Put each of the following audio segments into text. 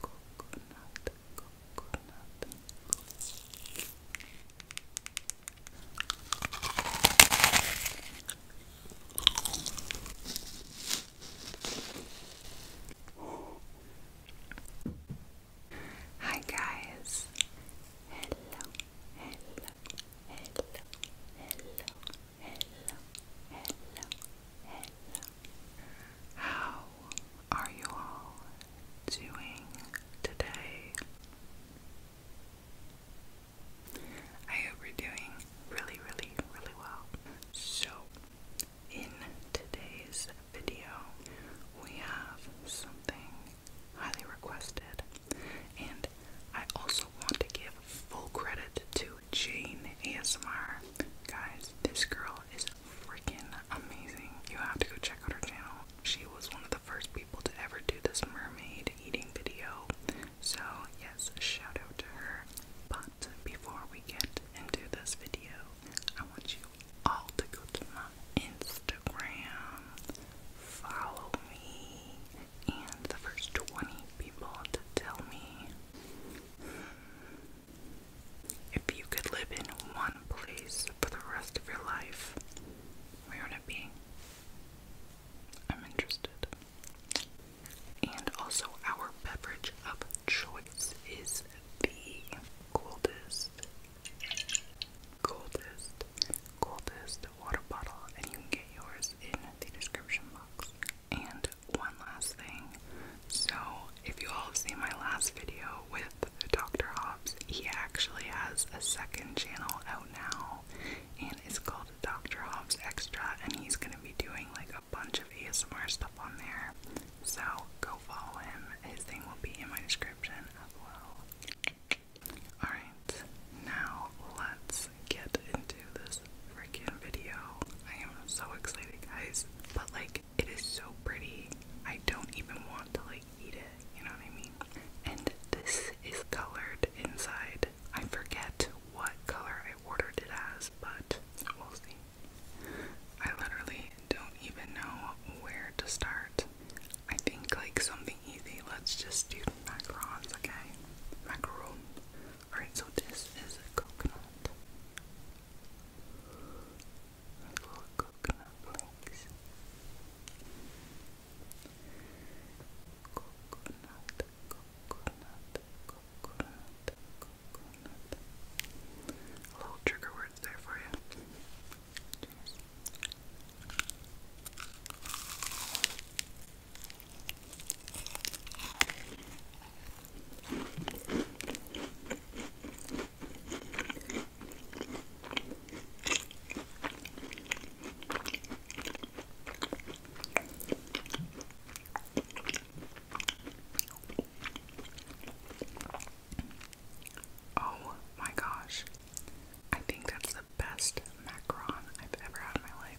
coconut, Hi guys. Hello, hello, hello, hello, Hello, hello, hello. How are you all doing today? I hope you're doing really, really, really well. So, in today's video, we have something highly requested, and I also want to give full credit to Jane ASMR. Guys, this girl is freaking amazing. You have to go check out her channel. She was one of the first people to ever do this mermaid eating video. So, yes, shout out to her. But before we get into this video, I want you all to go to my Instagram. Follow me and the first 20 people to tell me if you could live in one place for the rest of your life, where would it be? I'm interested. And also, our beverage of choice is the coldest, coldest, coldest water bottle, and you can get yours in the description box. And one last thing. So, if you all have seen my last video with Dr. Hobbs, he actually has a second channel out now, and it's called Dr. Hobbs Extra, and he's gonna be doing like a bunch of ASMR stuff on there. So, go follow him. His thing will be in my description as well. Alright, now let's get into this freaking video. I am so excited, guys. But, like, it is so pretty. I don't even want to, like, eat it. You know what I mean? And this is colored inside. I forget what color I ordered it as, but we'll see. I literally don't even know where to start. I think like something easy. Let's just do macarons, okay? Macaron. Alright, so this is a coconut. coconut flakes. Coconut, coconut, coconut, coconut. A little trigger words there for you. Oh my gosh. I think that's the best macaron I've ever had in my life.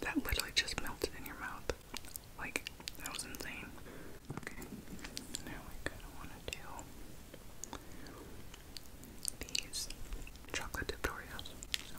That literally just melted in your mouth. Like, that was insane. Okay, now I kind of want to do these chocolate tutorials. So.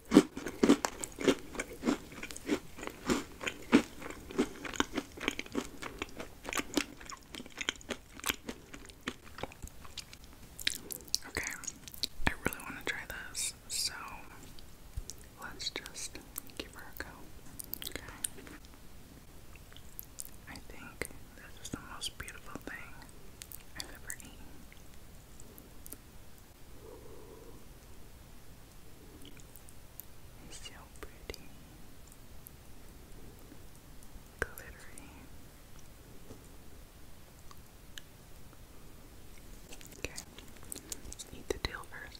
Okay, I really want to try this, so let's just give her a go. Okay. I think this is the most beautiful thing I've ever eaten. It's so pretty, glittery. Okay, eat the deal first.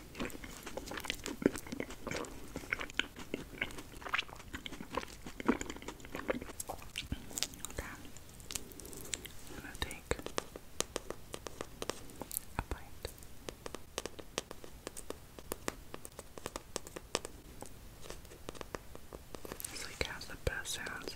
I'm gonna take a bite. This like has the best sounds.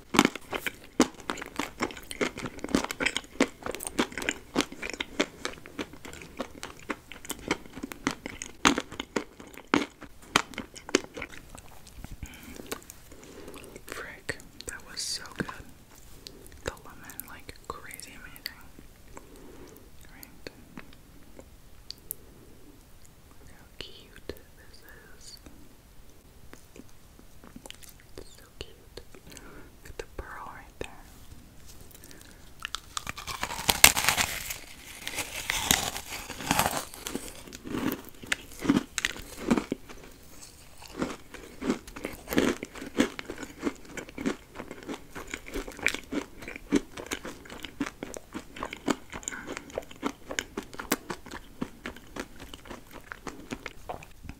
Frick, that was so good. The lemon, like crazy amazing. how cute this is. It's so cute. With the pearl right there.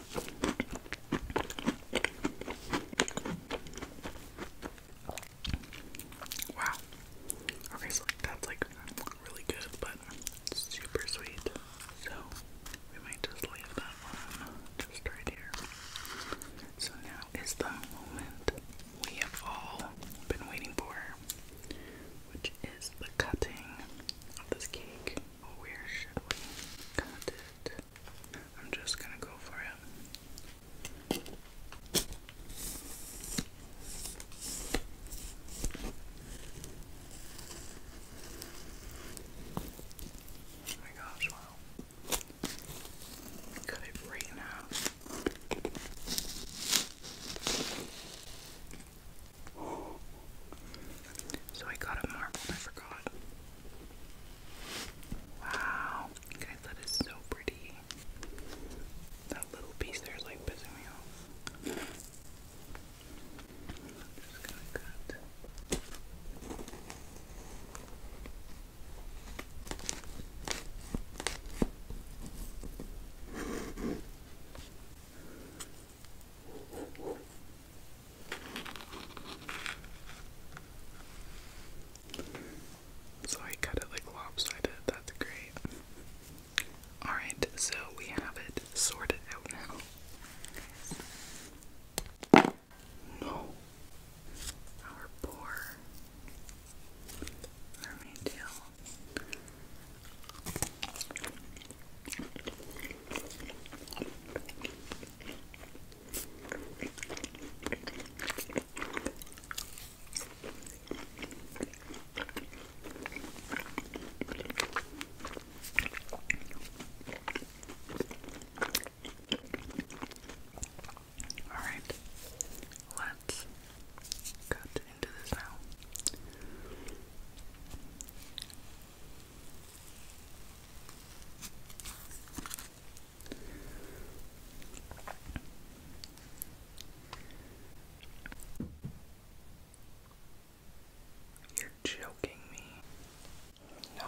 Wow. Okay, so that's like really good, but super sweet. So we might just leave that one just right here. So now is the moment we have all been waiting for, which is the cutting of this cake. Oh, where should we cut it? I'm just gonna go for it. Oh my gosh, wow. Cut it right in So I got a marble, I forgot. Wow, guys, that is so pretty. That little piece there is like pissing me off. just gonna cut. So I cut it like lopsided, that's great. Alright, so we have it sorted out now. No. Our poor mermaid tail. All right, let's cut into this now. You're joking me. No.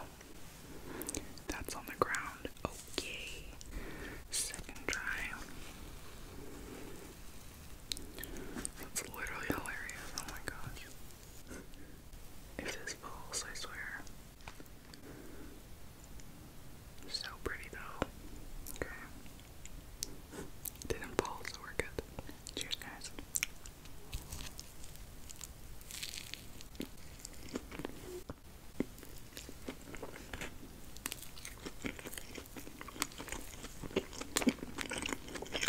That's on the ground. Okay. Second try. That's literally hilarious. Oh my gosh. If this falls, I swear. So pretty though. Okay. Didn't fall, so we're good. Cheers, guys.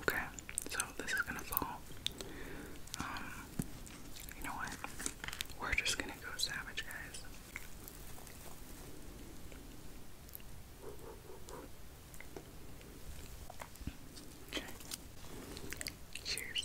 Okay, so this is gonna fall. Um, you know what? We're just gonna go savage, guys. Okay. Cheers.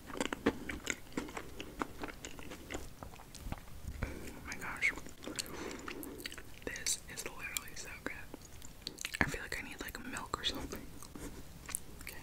Oh my gosh. This is literally so good. I feel like I need like milk or something. Okay.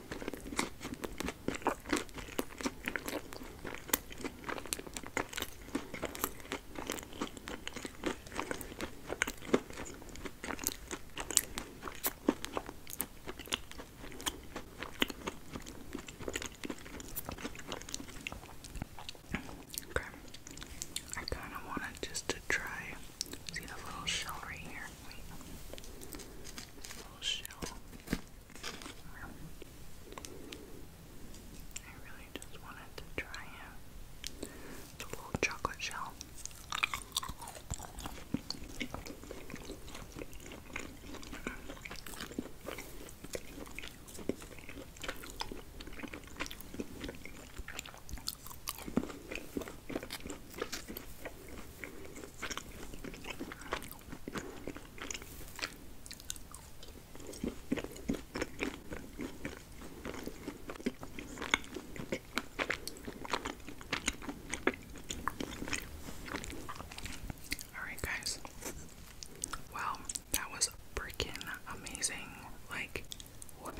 Okay. I kind of wanted just to try. See the little shell right here? Little shell. I really just wanted to try it. little chocolate shell. Alright, guys. Well, that was freaking amazing. Like, what?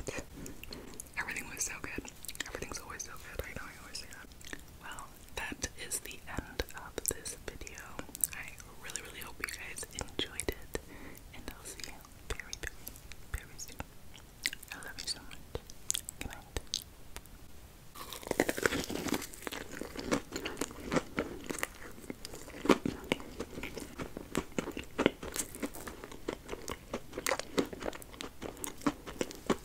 Everything was so good. Everything's always so good. I know I always say that. Well, that is the end of this video. I really, really hope you guys enjoyed it, and I'll see you very, very, soon. I love you so much. Good night.